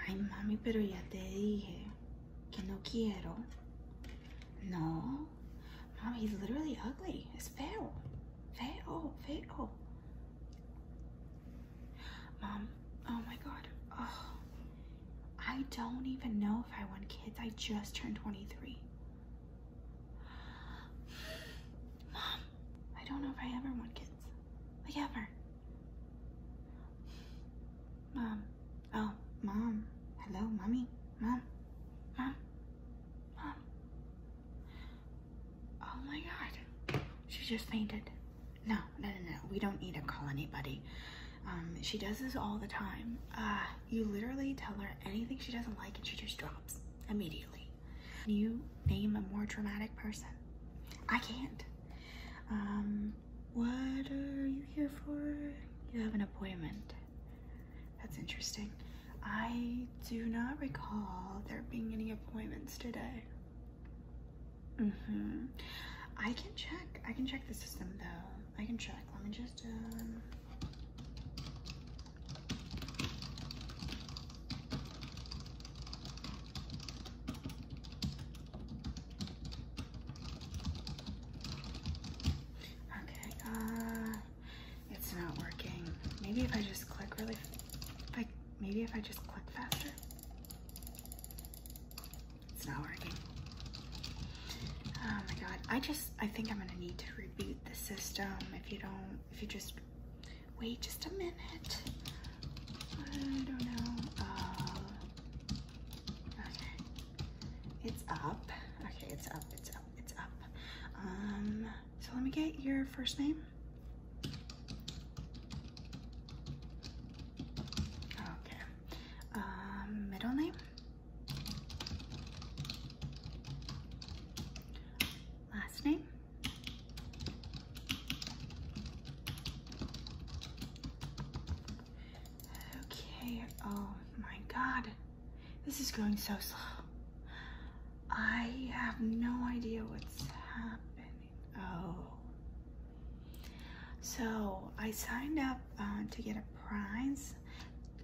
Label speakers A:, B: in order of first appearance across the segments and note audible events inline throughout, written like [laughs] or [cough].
A: Ay, mami, pero ya te dije que no quiero. No. Mommy, he's literally ugly. It's feo. Feo, feo. Mom, oh my God. Oh, I don't even know if I want kids. I just turned 23. Mom, I don't know if I ever want kids questions. her. Mom. Oh, Mom. Hello, Mommy. Mom. Mom. Mom. Oh my God. She just fainted. No, no, no, no. We don't need to call anybody. Um, she does this all the time. Uh, you literally tell her anything she doesn't like and she just drops immediately. Can you name a more dramatic person? I can't. Um, what are you here for? You have an appointment. That's interesting. I do not recall there being any appointments today. Mm-hmm. I can check. I can check the system though. I can check. Let me just um, Okay, uh, it's not working. Maybe if I just click really, if maybe if I just click faster. It's not working. Oh my God, I just, I think I'm gonna need to reboot the system if you don't, if you just wait just a minute. I don't know. Uh, okay. It's up. Okay, it's up, it's up, it's up. Um, so let me get your first name. Okay. Um, middle name. Last name. Okay, oh my god. This is going so slow. I have no idea what's happening. Oh. So I signed up uh, to get a prize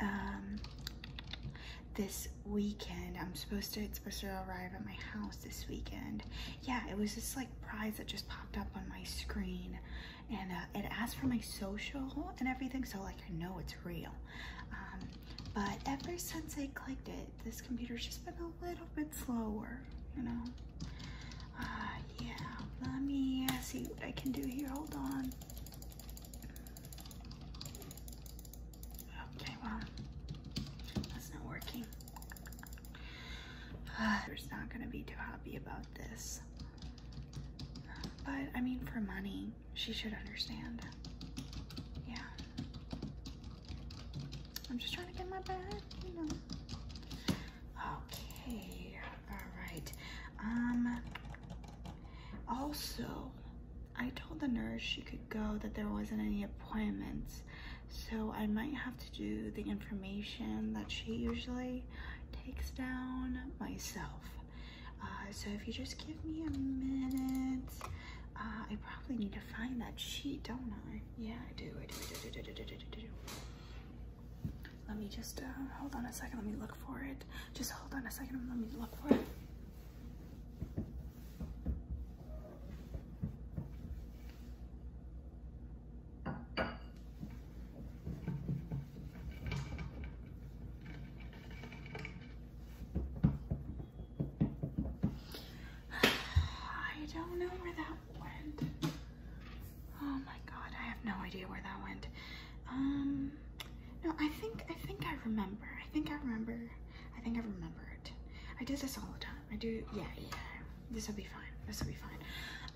A: um, this weekend. I'm supposed to, it's supposed to arrive at my house this weekend. Yeah, it was this like prize that just popped up on my screen and uh, it asked for my social and everything, so like I know it's real. Um, but ever since I clicked it, this computer's just been a little bit slower, you know? Uh, yeah, let me see what I can do here. Hold on. Okay, well, that's not working. Uh, not gonna be too happy about this. But I mean, for money, she should understand. Yeah. I'm just trying to get my bag, you know. Okay, all right. Um, also, I told the nurse she could go that there wasn't any appointments. So I might have to do the information that she usually takes down myself. Uh, so if you just give me a minute, uh, I probably need to find that sheet, don't I? Yeah, I do, I do, I do, I do, I do, I do, I do, do. Let me just, uh, hold on a second, let me look for it. Just hold on a second, let me look for it. I don't know where where that that went. went. Oh my god, I I have no um, No, idea think I think I remember. I think I remember I think I remember it. I do this all the time. I do, yeah, yeah. This will be fine. This will be fine.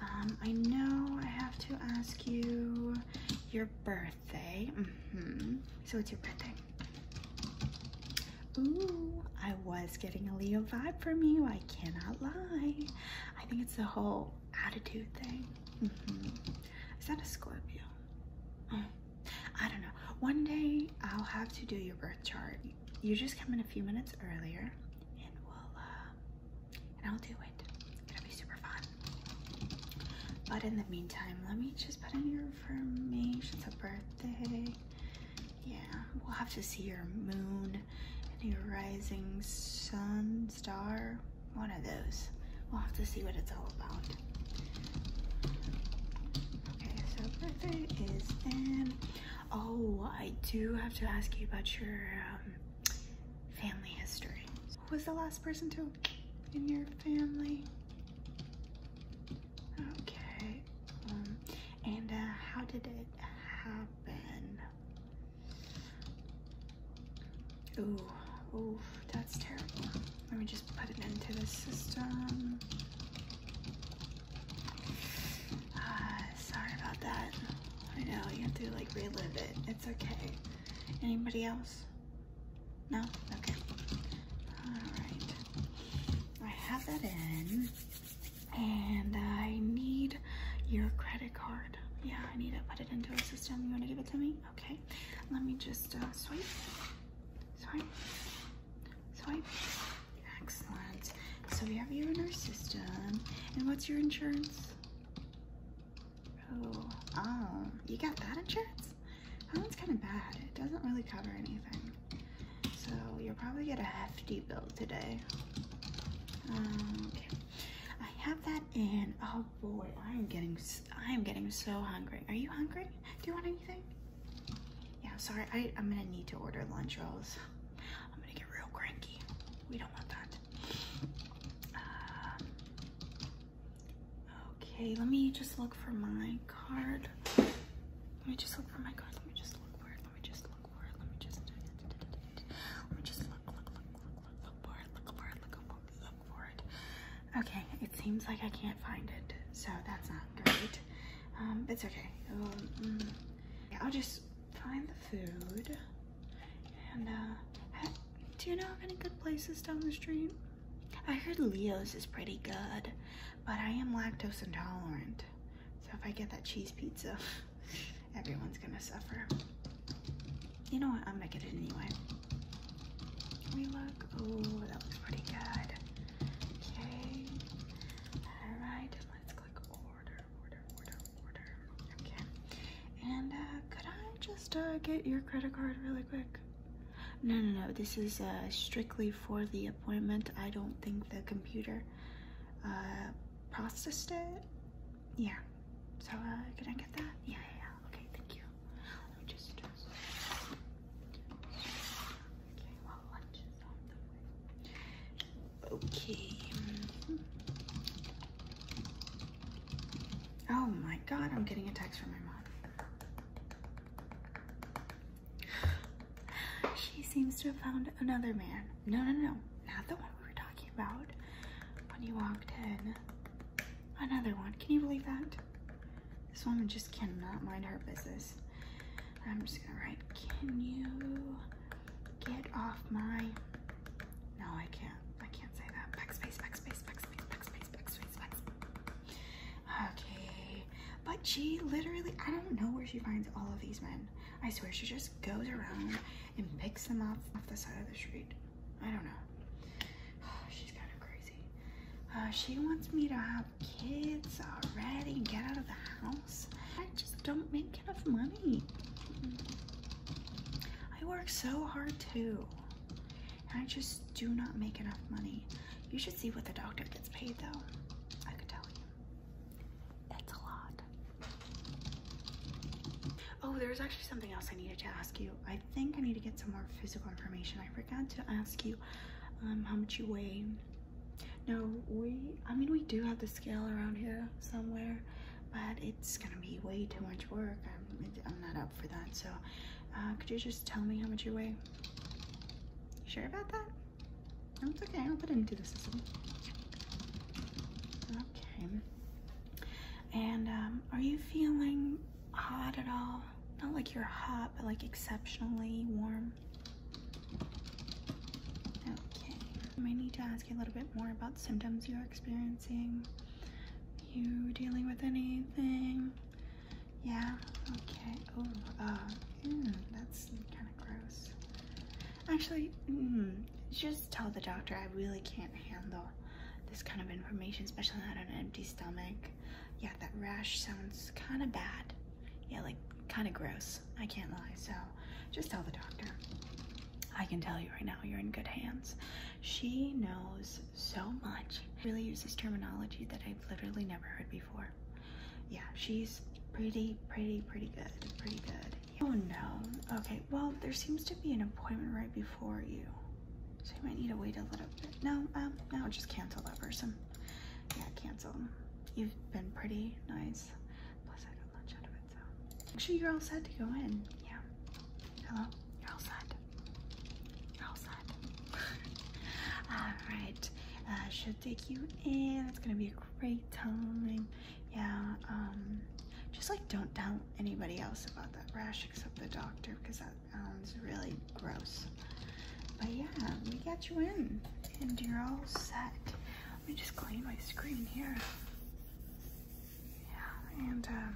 A: Um, I know I have to ask you your birthday. Mm -hmm. So it's your birthday. Ooh, I was getting a Leo vibe from you. I cannot lie. I think it's the whole attitude thing. Mm-hmm. Is that a Scorpio? Mm. I don't know. One day I'll have to do your birth chart. You just come in a few minutes earlier and we'll, uh, and I'll do it. It'll be super fun. But in the meantime, let me just put in your information. It's a birthday. Yeah, we'll have to see your moon and your rising sun star. One of those. We'll have to see what it's all about. Okay, so birthday is in. Oh, I do have to ask you about your um, family history. Who was the last person to in your family? Okay. Um, and uh, how did it happen? Ooh, oof. That's terrible. Let me just put it into the system. Uh, sorry about that. I know, you have to like relive it. It's okay. Anybody else? No? Okay. Alright. I have that in. And I need your credit card. Yeah, I need to put it into a system. You want to give it to me? Okay. Let me just uh, swipe. Swipe. Swipe. Excellent. So we have you in our system. And what's your insurance? Oh, oh, you got that insurance? That one's kind of bad. It doesn't really cover anything. So you'll probably get a hefty bill today. Um, okay. I have that in. Oh boy, I am getting I am getting so hungry. Are you hungry? Do you want anything? Yeah, sorry, I, I'm gonna need to order lunch rolls. I'm gonna get real cranky.
B: We don't want that. Um,
A: okay, let me just look for my card. Let me just look for my card. Let me just look for it. Let me just look for it. Let me just. Let me just look, look, look, look, look, look for it. Look for it. Look for it. Look Okay, it seems like I can't find it, so that's not great. Um, it's okay. Um, mm. I'll just find the food. And uh, do you know of any good places down the street? I heard Leo's is pretty good, but I am lactose intolerant. So if I get that cheese pizza, [laughs] everyone's gonna suffer. You know what, I'm gonna get it anyway we look? Oh, that looks pretty good. Okay. All right, let's click order, order, order, order. Okay. And uh, could I just uh, get your credit card really quick? No, no, no. This is uh, strictly for the appointment. I don't think the computer processed it. Yeah. So can I get that? yeah. Okay, thank you. Okay, Oh my god, I'm getting a text from my mom. She seems to have found another man. No, no, no, not the one we were talking about when you walked in. Another one. Can you believe that? This woman just cannot mind her business. I'm just gonna write, can you get off my, no, I can't. I can't say that. Backspace, backspace, backspace, backspace, backspace, backspace. Okay. But she literally, I don't know where she finds all of these men. I swear, she just goes around and picks them up off the side of the street. I don't know. [sighs] she's kind of crazy. Uh, she wants me to have kids already get out of the house. I just don't make enough money. I work so hard too. I just do not make enough money. You should see what the doctor gets paid though. I could tell you. That's a lot. Oh, there's actually something else I needed to ask you. I I think I need to get some more physical information. I forgot to ask you um, how much you weigh. No, we, I mean, we do have the scale around here somewhere, but it's gonna be way too much work. I'm, I'm not up for that. So, uh, could you just tell me how much you weigh? sure about that? No, it's okay, I'll put it into the system. Okay. And um, are you feeling hot at all. Not like you're hot, but like exceptionally warm. Okay, I might need to ask you a little bit more about symptoms you're experiencing. You dealing with anything? Yeah, okay. Oh, uh, mm, that's kind of gross. Actually, hmm, just tell the doctor I really can't handle this kind of information, especially on an empty stomach. Yeah, that rash sounds kind of bad. Yeah, like kind of gross. I can't lie. So just tell the doctor. I can tell you right now, you're in good hands. She knows so much. Really uses terminology that I've literally never heard before. Yeah, she's pretty, pretty, pretty good. Pretty good. Oh no. Okay, well, there seems to be an appointment right before you. So you might need to wait a little bit. No, um, no, just cancel that person. Yeah, cancel. You've been pretty nice. Plus, I do got lunch out of it, so. Make sure you're all set to go in. Yeah. Hello?
B: You're all set. You're all set.
A: [laughs] all right. Uh, should take you in. It's gonna be a great time. Yeah, um, just like don't doubt anybody else about that rash except the doctor because that sounds really gross. But yeah, we got you in and you're all set. Let me just clean my screen here. Yeah, and uh,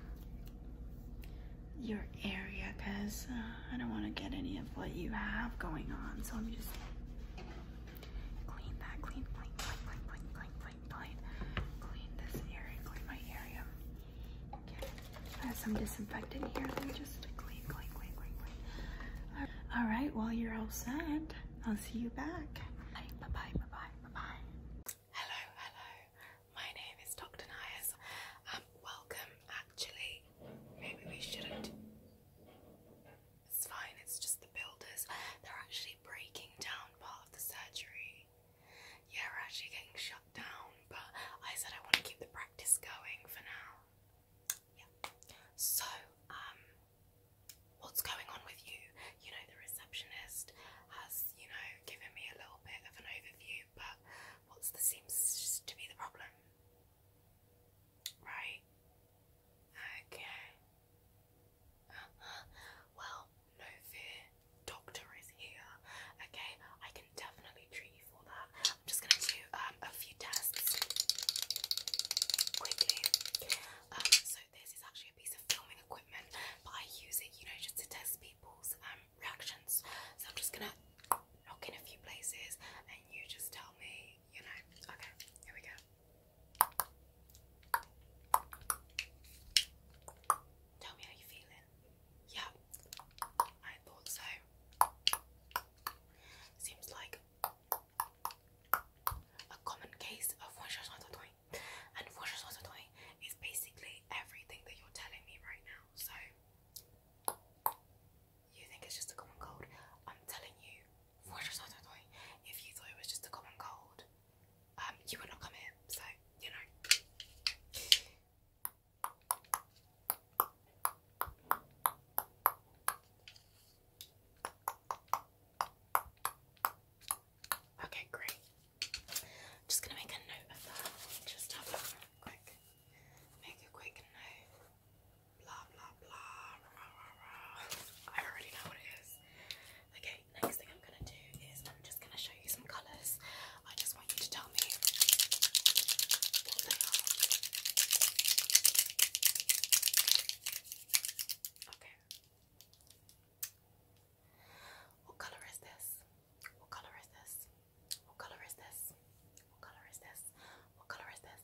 A: your area because uh, I don't want to get any of what you have going on. So I'm just clean clean, clean, clean, clean, clean, clean, clean, clean, clean this area, clean my area. Okay, I have some disinfectant here. Let me just clean, clean, clean, clean, clean. All right, While you're all set. I'll see you back.
B: Bye, bye, bye, bye, bye, bye. Hello, hello. My name is Dr. Nias. Um, welcome. Actually, maybe we shouldn't. It's fine, it's just the builders. They're actually breaking down part of the surgery. Yeah, we're actually getting shut down, but I said I want to keep the practice going for now. So, um, what's going on with you? You know, the receptionist has, you know, given me a little bit of an overview, but what's the seems to be the problem? Right. Okay. Uh-huh. Well, no fear, doctor is here. Okay, I can definitely treat you for that. I'm just gonna do um, a few tests quickly. Um, so this is actually a piece of filming equipment, but I use it, you know, just to test people's um, reactions. So I'm just gonna knock in a few places, and you just tell me, you know. Okay, here we go. Tell me how you're feeling. Yeah, I thought so. Seems like a common case of and is basically everything that you're telling me right now. So you think it's just a common cold? I'm telling you, if you thought it was just a common cold, um, you were not coming, so you know. Okay, great. I'm just gonna make a note of that. Just a quick, make a quick note. Blah blah blah. I already know what it is. Okay, next thing I'm gonna do is I'm just gonna show you some colours. I just want you to tell me Okay. What colour is this? What colour is this? What colour is this? What colour is this? What colour is this?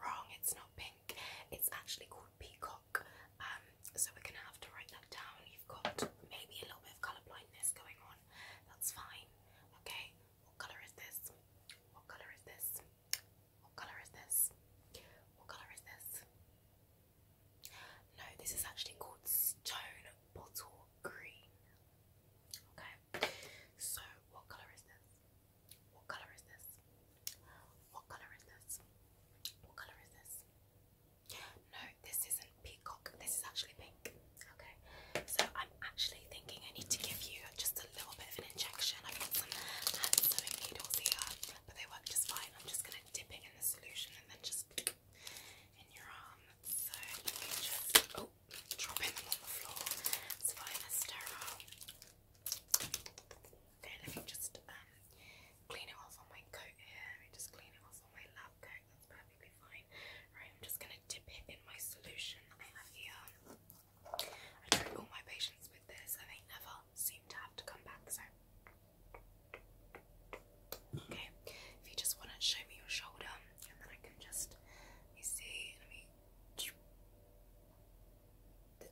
B: Wrong, it's not pink it's actually called peacock. Um, so we're gonna have to write that down. You've got maybe a little bit of colour blindness going on. That's fine. Okay. What colour is this? What colour is this? What colour is this? What colour is this? No, this is actually called stone bottle green. Okay. So what colour is this? What colour is this? What colour is this? What colour is this? No, this isn't peacock. This is actually pink. Okay, so I'm actually thinking I need to give you just a little bit of an injection. I've got some hand needles here, but they work just fine. I'm just gonna dip it in the solution and then just in your arm. So just oh, dropping them on the floor. It's fine, they're sterile then if you just um, clean it off on my coat here and just clean it off on my lab coat, that's perfectly fine. Right, I'm just gonna dip it in my solution that I have here. I treat all my patients with this and they never seem to have to come back, so okay. If you just wanna show me your shoulder and then I can just let see, let me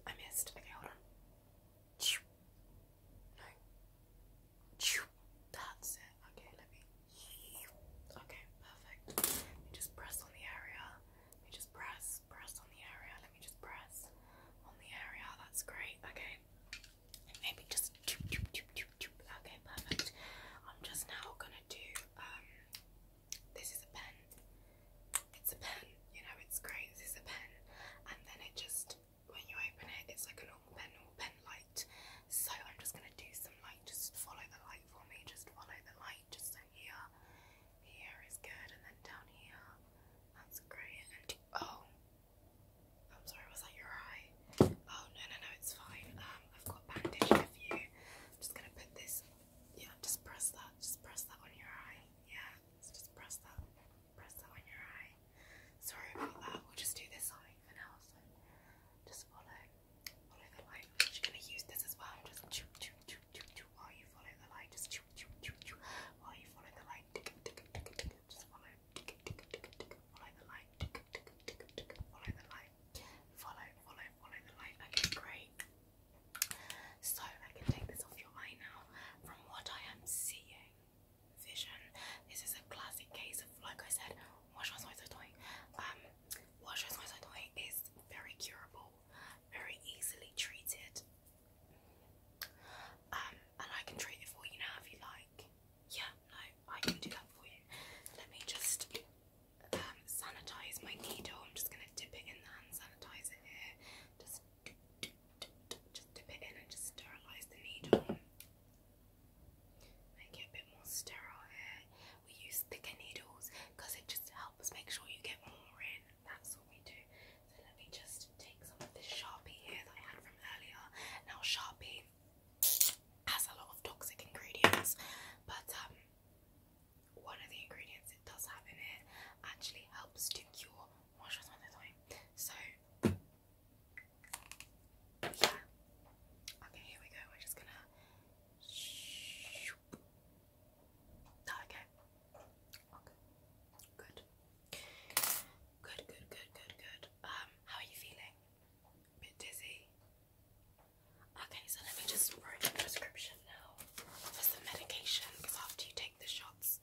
B: I missed. Okay, hold on. No. That's it. Okay, let me. Okay, perfect. Let me just press on the area. Let me just press, press on the area. Let me just press on the area. That's great. Okay. Maybe just. Okay, perfect. I'm just now gonna do. Um, this is a pen it's a pen, you know, it's great, this is a pen, and then it just, when you open it, it's like a normal pen, normal pen light, so I'm just going to do some light, just follow the light for me, just follow the light, just so here, here is good, and then down here, that's great, and, oh, I'm sorry, was that your eye? Oh, no, no, no, it's fine, um, I've got a bandage for you, I'm just going to put this, yeah, just press that, just press that on your eye, yeah, so just press that, press that on your eye. Sorry about that. We'll just do this on even else. So just follow, follow the light. I'm actually gonna use this as well. Just choo choo choo choo choo while you follow the light. Just choo choo choo choo while you follow the light. Just follow, follow the light. Follow the light. Follow, follow, follow the light. Okay, great. So I can take this off your eye now. From what I am seeing, vision. This is a classic case of, like I said, um, is very curable, very easily treated. Um, and I can treat it for you now if you like. Yeah, no, I can do that for you. Let me just um, sanitize my needle. I'm just gonna dip it in the hand sanitizer here. Just just dip it in and just sterilize the needle. Make it a bit more sterile here. We use thicker needles because it just helps make sure you get more in. That's what we do. So let me just take some of this Sharpie here that I had from earlier. Now Sharpie has a lot of toxic ingredients, but um, one of the ingredients it does have in it actually helps to cure so yeah okay here we go we're just gonna that ah, okay okay good good good good good um how are you feeling bit dizzy okay so let me just write the prescription now for some medication after you take the shots,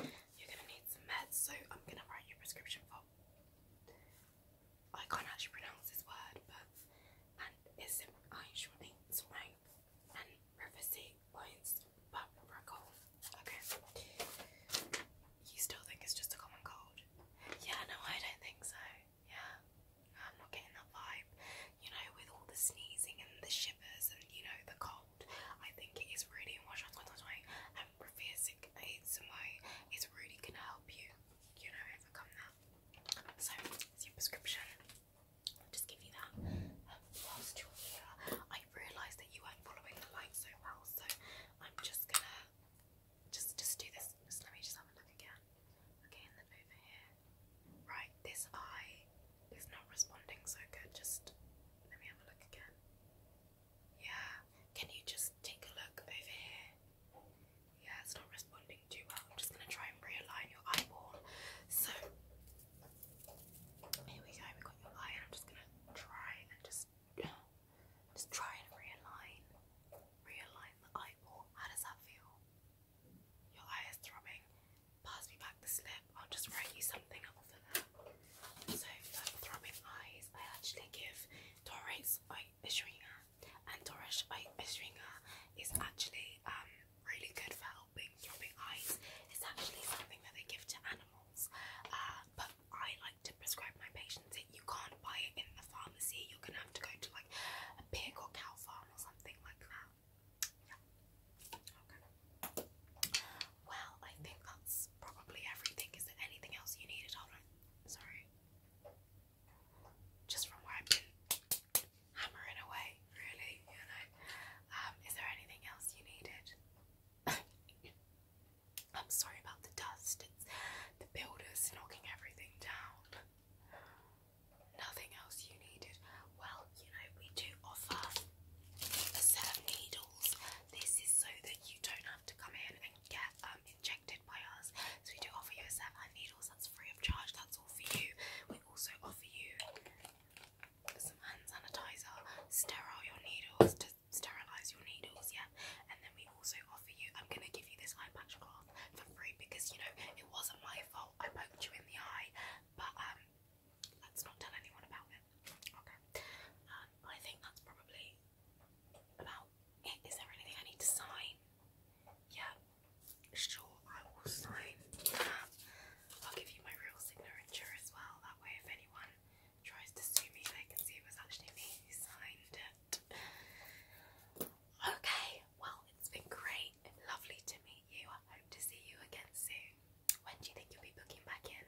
B: you're gonna need some meds. So I'm gonna write you a prescription for. I can't actually pronounce this word, but and it's Einschwein and Reversi Wines Papricol. Okay. You still think it's just a common cold? Yeah, no, I don't think so. Yeah that vibe, you know, with all the sneezing and the shivers and you know the cold. I think it is really much on and Profesic ASMR is really gonna help you, you know, overcome that. So it's your prescription. I'll just give you that. Um, whilst you're here, I realised that you weren't following the light so well, so I'm just gonna just just do this. Just let me just have a look again. Okay, then over here. Right, this eye is not responding so good. Just let me have a look again. Yeah, can you just take a look over here? Yeah, it's not responding too well. I'm just gonna try and realign your eyeball. So here we go, we got your eye, and I'm just gonna try and just just try and realign, realign the eyeball. How does that feel? Your eye is throbbing. Pass me back the slip. I'll just write you something up for that. So throbbing eyes, I actually give Doris Oishringa. And Doris Oishringa is actually um really good for helping throbbing eyes. It's actually something that they give to animals. Uh, but I like to prescribe my patients it. You can't buy it in the pharmacy. You're gonna have to go to like a pig or cow farm or something like that. Well, I think that's probably everything. Is there anything else you needed? Hold Sorry. Just from where I've hammering away, really, you know. Um, is there anything else you needed? [coughs] I'm sorry about the dust. It's the builders knocking everything down. Nothing else you needed. Well, you know, we do offer a set of needles. This is so that you don't have to come in and get um, injected by us. So we do offer you a set of needles. That's free of charge. That's all for you. We also offer you some hand sanitizer, sterile your needles to sterilize your needles. Yeah, and then we also offer you. I'm gonna give you this eye patch cloth for free because you know it wasn't my fault. I poked you in the eye, but um, let's not tell anyone about it. Okay. Um, I think that's probably about it. Is there anything I need to sign? Yeah. Sure, I will sign that. I'll give you my real signature as well. That way, if anyone tries to sue me, they can see it was actually me who signed it. Okay, well, it's been great and lovely to meet you. I hope to see you again soon. When do you think you'll be booking back in?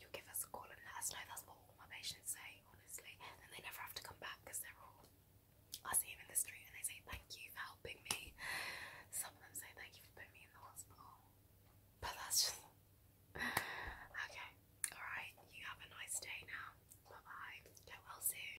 B: You'll give us a call and let us know. That's what all my patients say, honestly. And they never have to come back because they're all. I see them in the street and they say thank you for helping me. Some of them say thank you for putting me in the hospital. But that's just. [laughs] okay. Alright. You have a nice day now. Bye bye. Get well soon.